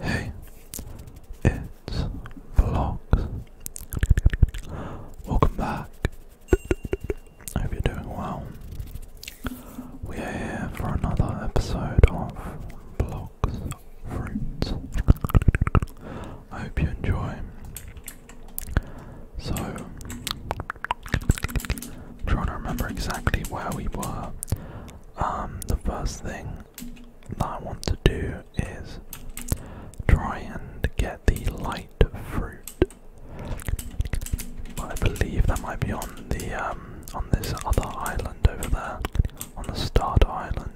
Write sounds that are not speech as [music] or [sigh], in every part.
Hey, it's Vlogs. Welcome back. hope you're doing well. We are here for another episode of Vlogs Fruits. I hope you enjoy. So, I'm trying to remember exactly where we were. Um, the first thing that I want to do is try and get the light fruit. But I believe that might be on the um, on this other island over there, on the start island.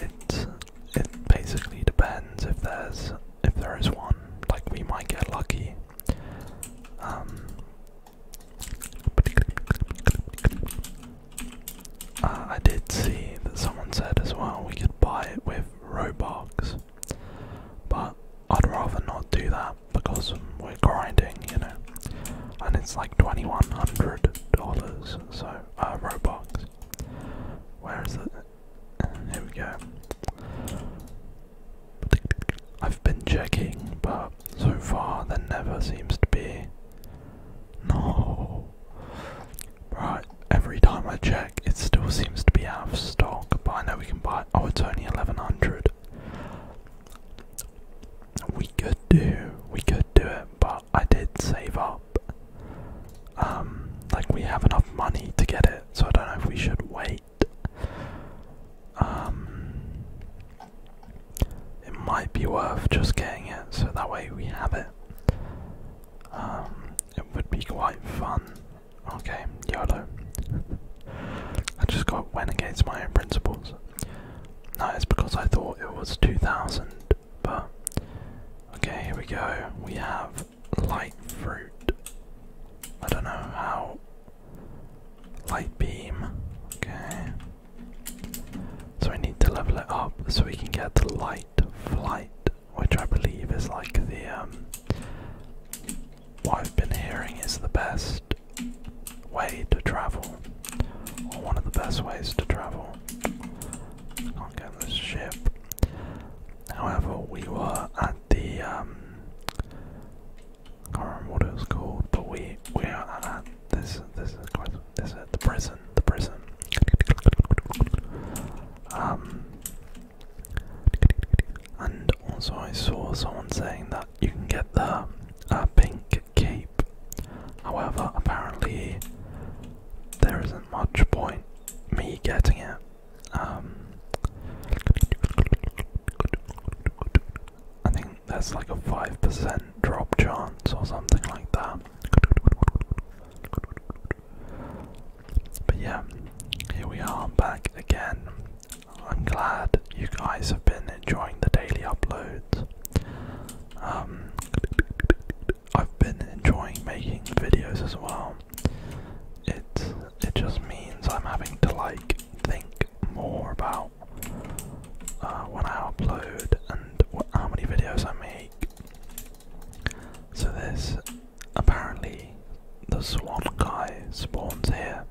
It it basically depends if there's if there is one. Like we might get lucky um, uh, I did see that someone said as well we could buy it with Robux, but I'd rather not do that because we're grinding, you know, and it's like $2,100, so uh, Robux. Where is it? Here we go. I've been checking, but so far there never seems to be. No. Right, every time I check, it still seems to be out of stock, but I know we can buy. Oh, it's only 1100. We could do, we could do it, but I did save up. Um, like we have enough money to get it, so I don't know if we should wait. Um, it might be worth just getting it so that way we have it. Um, it would be quite fun. Okay, YOLO. I just got went against my own principles. No, it's because I thought it was 2000, but. Okay, here we go. We have light fruit. I don't know how Light beam. Okay. So we need to level it up so we can get the light flight, which I believe is like the um what I've been hearing is the best way to travel. Or one of the best ways to travel. can't get this ship. However, we were at the um I do not remember what it was called, but we we are at this this is quite this is the prison the prison. Um, and also I saw someone saying that you can get the uh, pink cape. However, apparently there isn't much point me getting it. Um, I think that's like a 5% drop chance or something like that. But yeah, here we are back again. I'm glad you guys have been enjoying the daily uploads. Um, I've been enjoying making videos as well. It it just means I'm having to like think more about uh, when I upload and how many videos I make. So this, apparently the swan guy spawns here,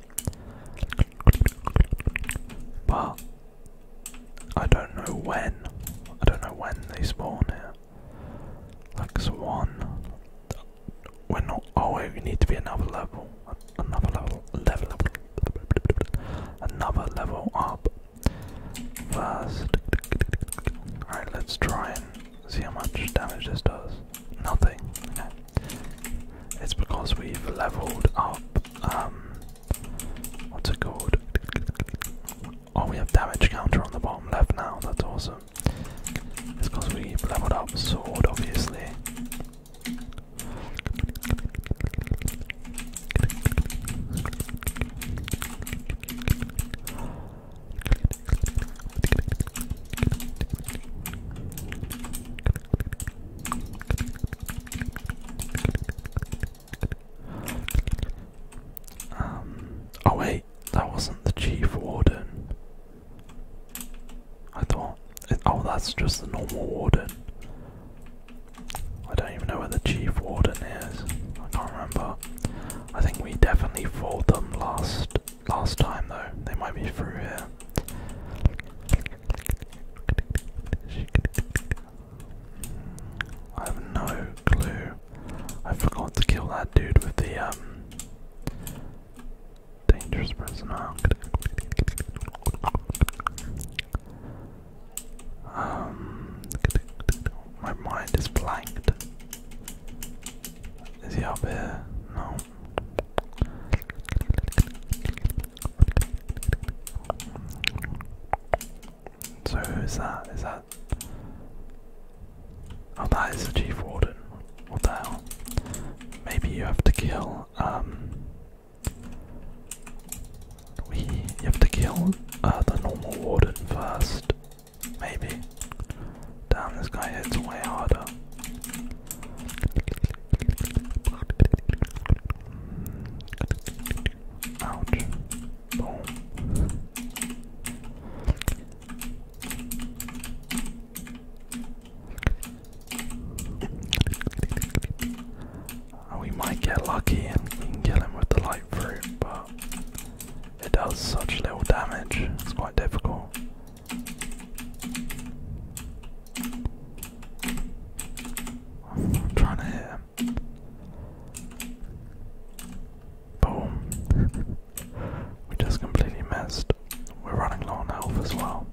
but I don't know when. I don't know when they spawn here. Like swan, we're not. Oh we need to be another level. Another level. Level up. Another level up. First. Alright, let's try and see how much damage this does. Nothing. It's because we've leveled up. Um. What's it called? Oh, we have damage counter on the bottom left now. That's awesome. It's because we've leveled up sword, obviously. Um, oh wait, that wasn't the chief warden. I thought, oh, that's just the normal warden. I don't even know where the chief warden is. I can't remember. I think we definitely fought them last last time though. They might be through here. I have no clue. I forgot to kill that dude with the um Dangerous person. Um, my mind is blanked. Is he up here? No. So who is that? Is that? Oh, that is chief warden. What the hell? Maybe you have to kill now. Um, we have to kill uh, the normal warden first, maybe. Damn, this guy hits way harder. Ouch. Boom. Uh, we might get lucky and we can kill him with the light fruit, but it does such little damage, it's quite difficult. I'm trying to hit Boom. we just completely missed. We're running low on health as well.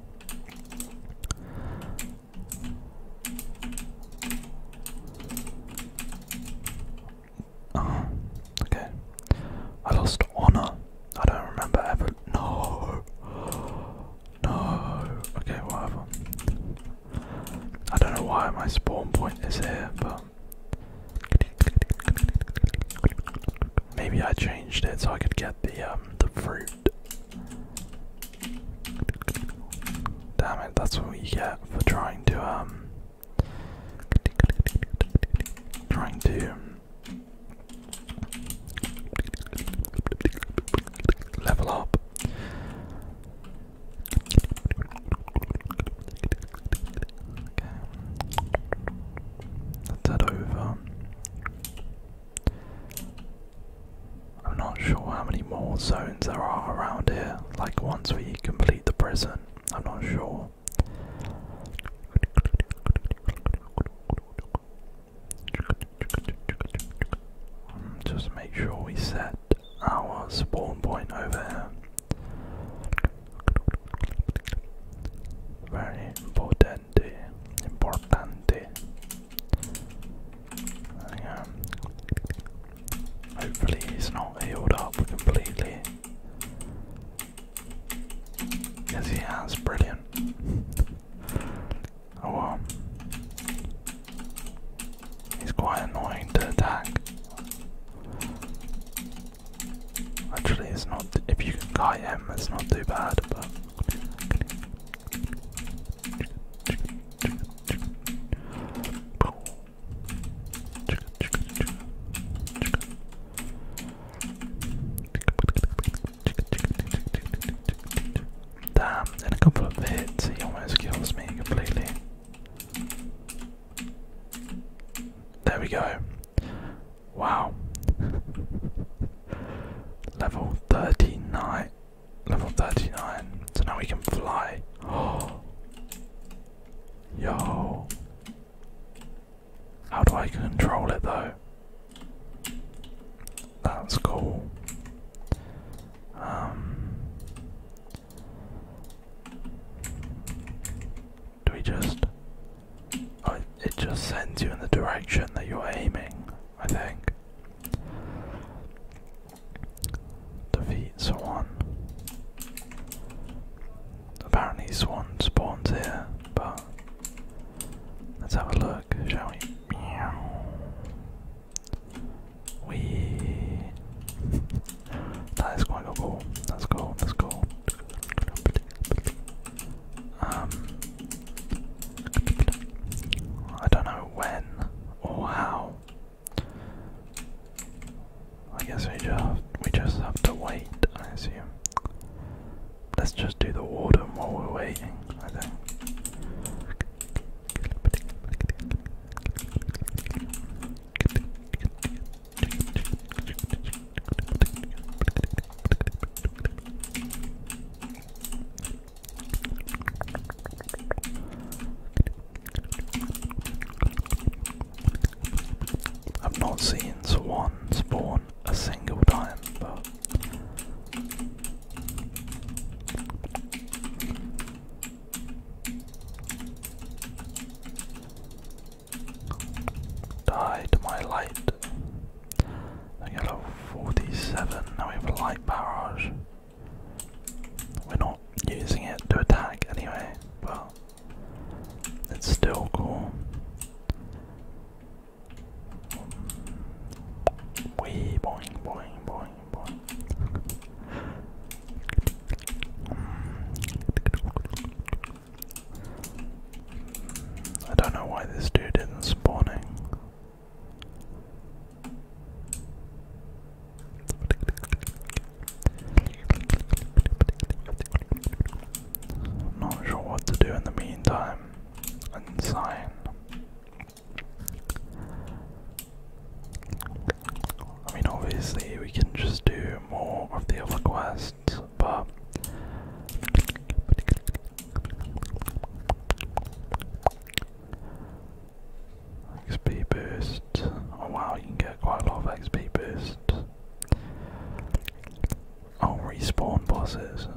Oh, okay. I lost honor. I don't remember ever. No. No. Okay, whatever. I don't know why my spawn point is here, but. Maybe I changed it so I could get the um the fruit. Damn it, that's what we get for trying to um trying to level up. Let's head over. I'm not sure how many more zones there are around here, like once we complete the prison. I'm not sure. Hmm, just make sure we set our spawn point over here. Very important importante, importante. hopefully he's not healed up completely. Yes, he has. Brilliant. Oh He's quite annoying to attack. Actually, it's not. If you can kite him, it's not too bad, but. Damn, in a couple of hits he almost kills me completely. There we go. Wow. level 39. Level 39. So now we can fly. Oh. [gasps] Yo. How do I control it though? That's cool. Um, do we just it just sends you in the direction that you're aiming, I think. Defeat Swan. Apparently, Swan spawns here, but let's have a look, shall we? We. [laughs] That is quite cool. That's cool. That's cool. Um, I don't know when or how. I guess we just we just have to wait, I assume. Let's just do the order while we're waiting, I think. I've not seen Swan spawn a single time, but Die my light. Then level 47. Now we have a light barrage. We're not using it to attack anyway, but it's still cool. Wee boing boing boing boing. I don't know why this dude isn't spawning. not sure what to do in the meantime. Unsign. I mean, obviously, we can just do more of the other quests, but XP boost. Oh wow, you can get quite a lot of XP boost. Oh, respawn bosses.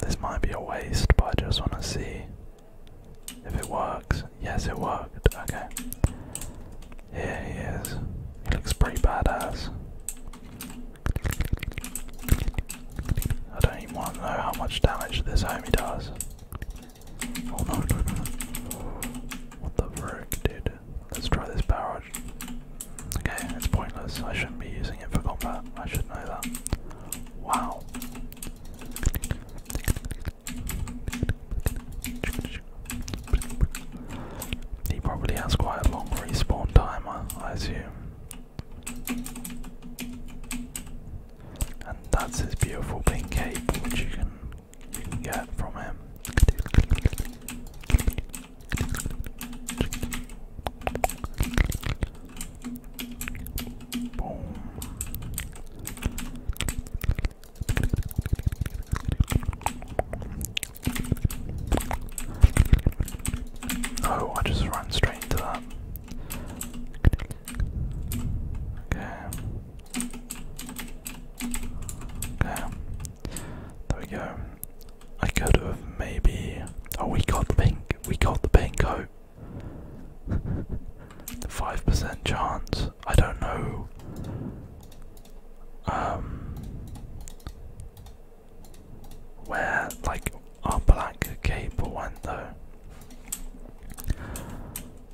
This might be a waste, but I just want to see if it works. Yes, it worked. Okay. Here he is. He looks pretty badass. I don't even want to know how much damage this homie does. Oh no, What the frick, dude? Let's try this barrage. Okay, it's pointless. I shouldn't be using it for combat. I should know that. Wow. He probably has quite a long respawn timer, I assume. And that's his beautiful pink cape, which you can you can get from him. Oh, I just ran straight into that. Okay. Okay. There we go. I could have maybe. Oh, we got the pink. We got the pink coat. the five percent chance. I don't know. Um where like our black cable went though.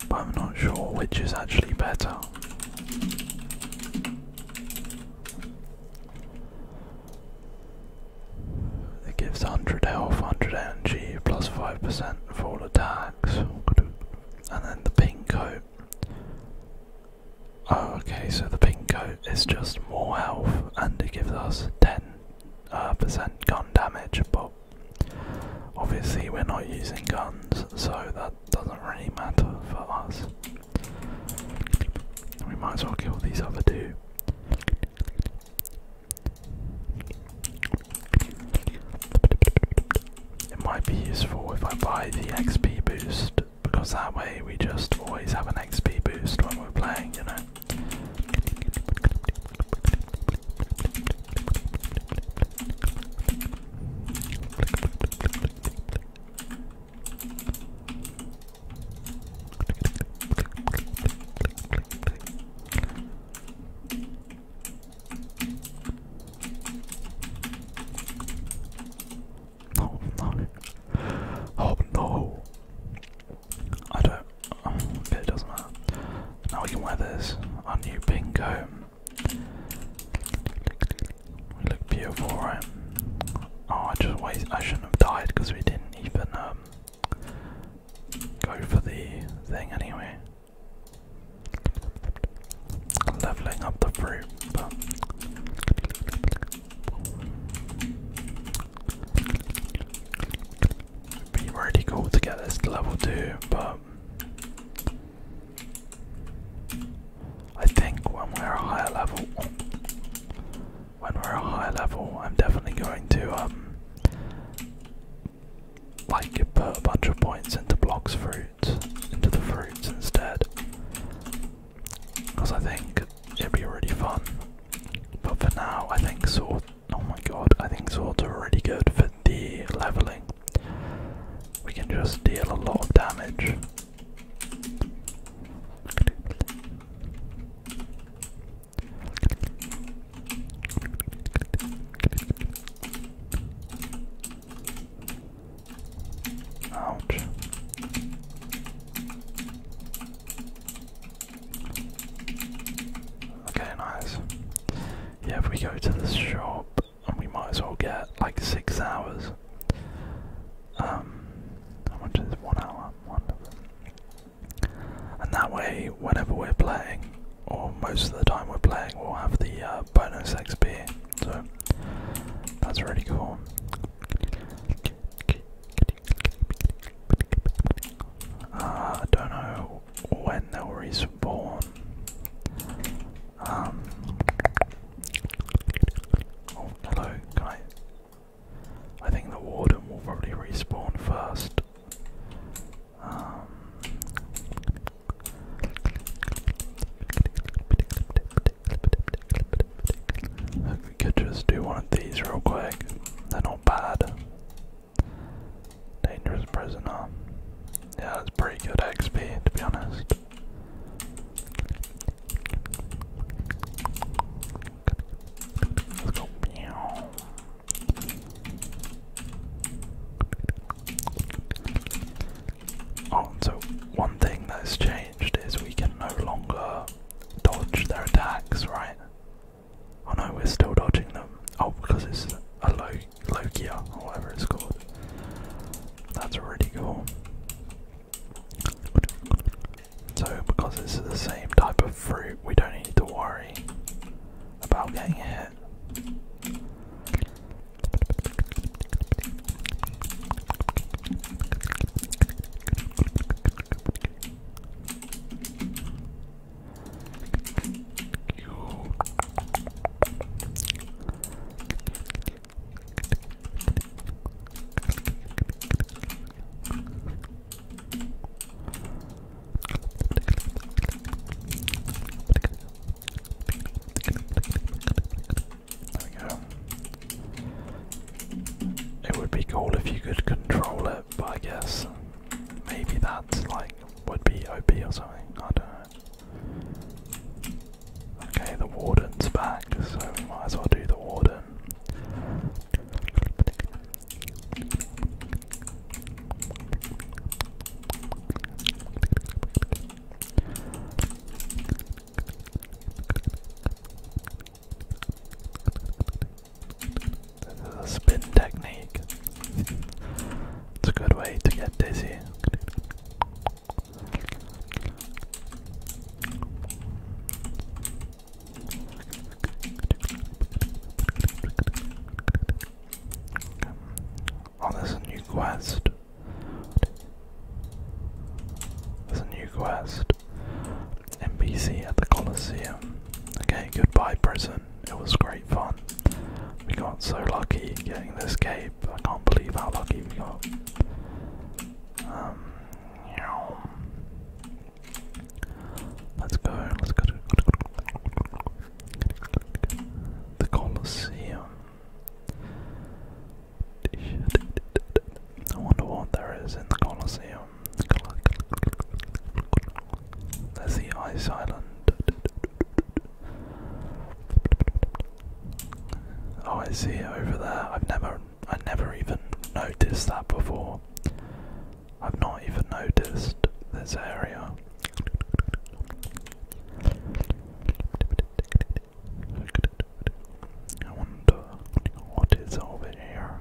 But I'm not sure which is actually better. It gives 100 health, 100 energy, plus 5% of all attacks. And then the pink coat Oh, okay, so the pink coat is just more health and it gives us 10 uh, percent gun damage, but obviously we're not using guns, so that doesn't really matter for us. We might as well kill these other two. It might be useful if I buy the XP boost because that way we just always have an XP boost when we're playing, you know. Oh no. Oh no. I don't. Oh, okay, it doesn't matter. Now we can wear this. Our new pink coat. We look beautiful, right? Oh, I just wait. I shouldn't have died because we didn't even um go for the thing anyway. Leveling up the fruit, but be really cool to get this level 2, but I think when we're a higher level, when we're a higher level, I'm definitely going to um like put a bunch of points into blocks fruit, into the fruits instead, because I think it'd be really fun. But for now, I think sword. Oh my god, I think swords are really good for the leveling. We can just deal a lot of damage. Ouch. Okay, nice. Yeah, if we go to the shop, and we might as well get like six hours. Um, how much is one hour? Wonderful. And that way, whenever we're playing, or most of the time we're playing, we'll have the uh, bonus XP. So that's really cool. Uh, I don't know when they'll respawn. Um, oh, hello, can I? think the warden will probably respawn first. Um, if we could just do one of these real quick. They're not bad. Dangerous prisoner. Yeah, that's pretty good XP to be honest. Let's go. Oh, so one thing that's changed is we can no longer dodge their attacks, right? Oh no, we're still dodging them. Oh, because it's a low Logia or whatever it's called. That's really cool. So because it's the same type of fruit, we don't need to worry about getting hit you. There we go. It would be cool if you could control it, but I guess maybe that like would be OP or something. I don't know. Okay, the warden's back, so might as well do the warden. This is a spin technique. It's a good way to get dizzy. Oh, there's a new quest. There's a new quest. NPC at the Colosseum. Okay, goodbye prison. It was great fun. We got so lucky getting this cape. I can't believe how lucky we got. Um, let's go. Let's go the Colosseum. I wonder what there is in the Colosseum. There's the ice island. Oh, I see it over there. I've never, I never even noticed that before. I've not even noticed this area. I wonder what is over here?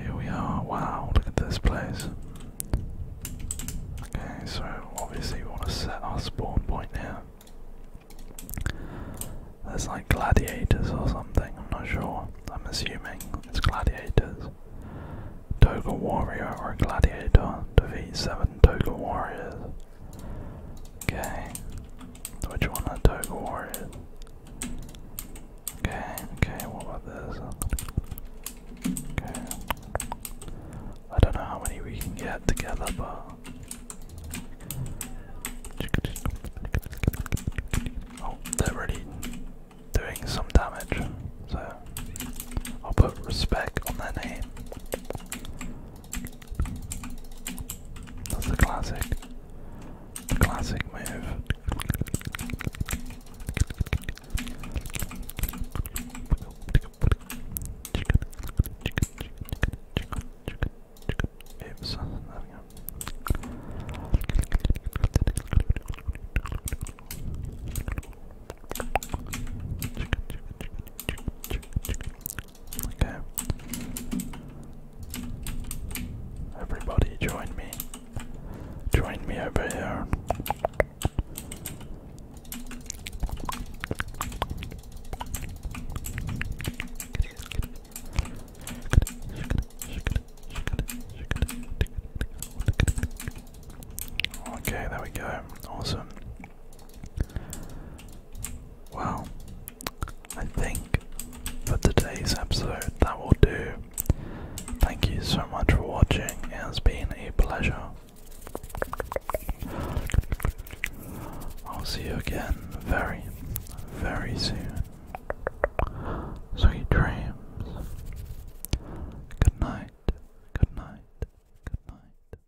Here we are. Wow, look at this place. Okay, so obviously we want to set our spawn point here. It's like gladiators or something, I'm not sure. I'm assuming it's gladiators. Toga warrior or gladiator defeat seven Toga warriors. Okay. So what you wanna Okay, okay, what about this? Okay. I don't know how many we can get together, but oh, they're already doing some damage, so I'll put respect on their name. That's the classic. classic move. Okay. Everybody join me. Join me over here. Okay, there we go. Awesome. Well, I think for today's episode that will do. Thank you so much for watching, it has been a pleasure. I'll see you again very, very soon. Sweet dreams. Good night, good night, good night.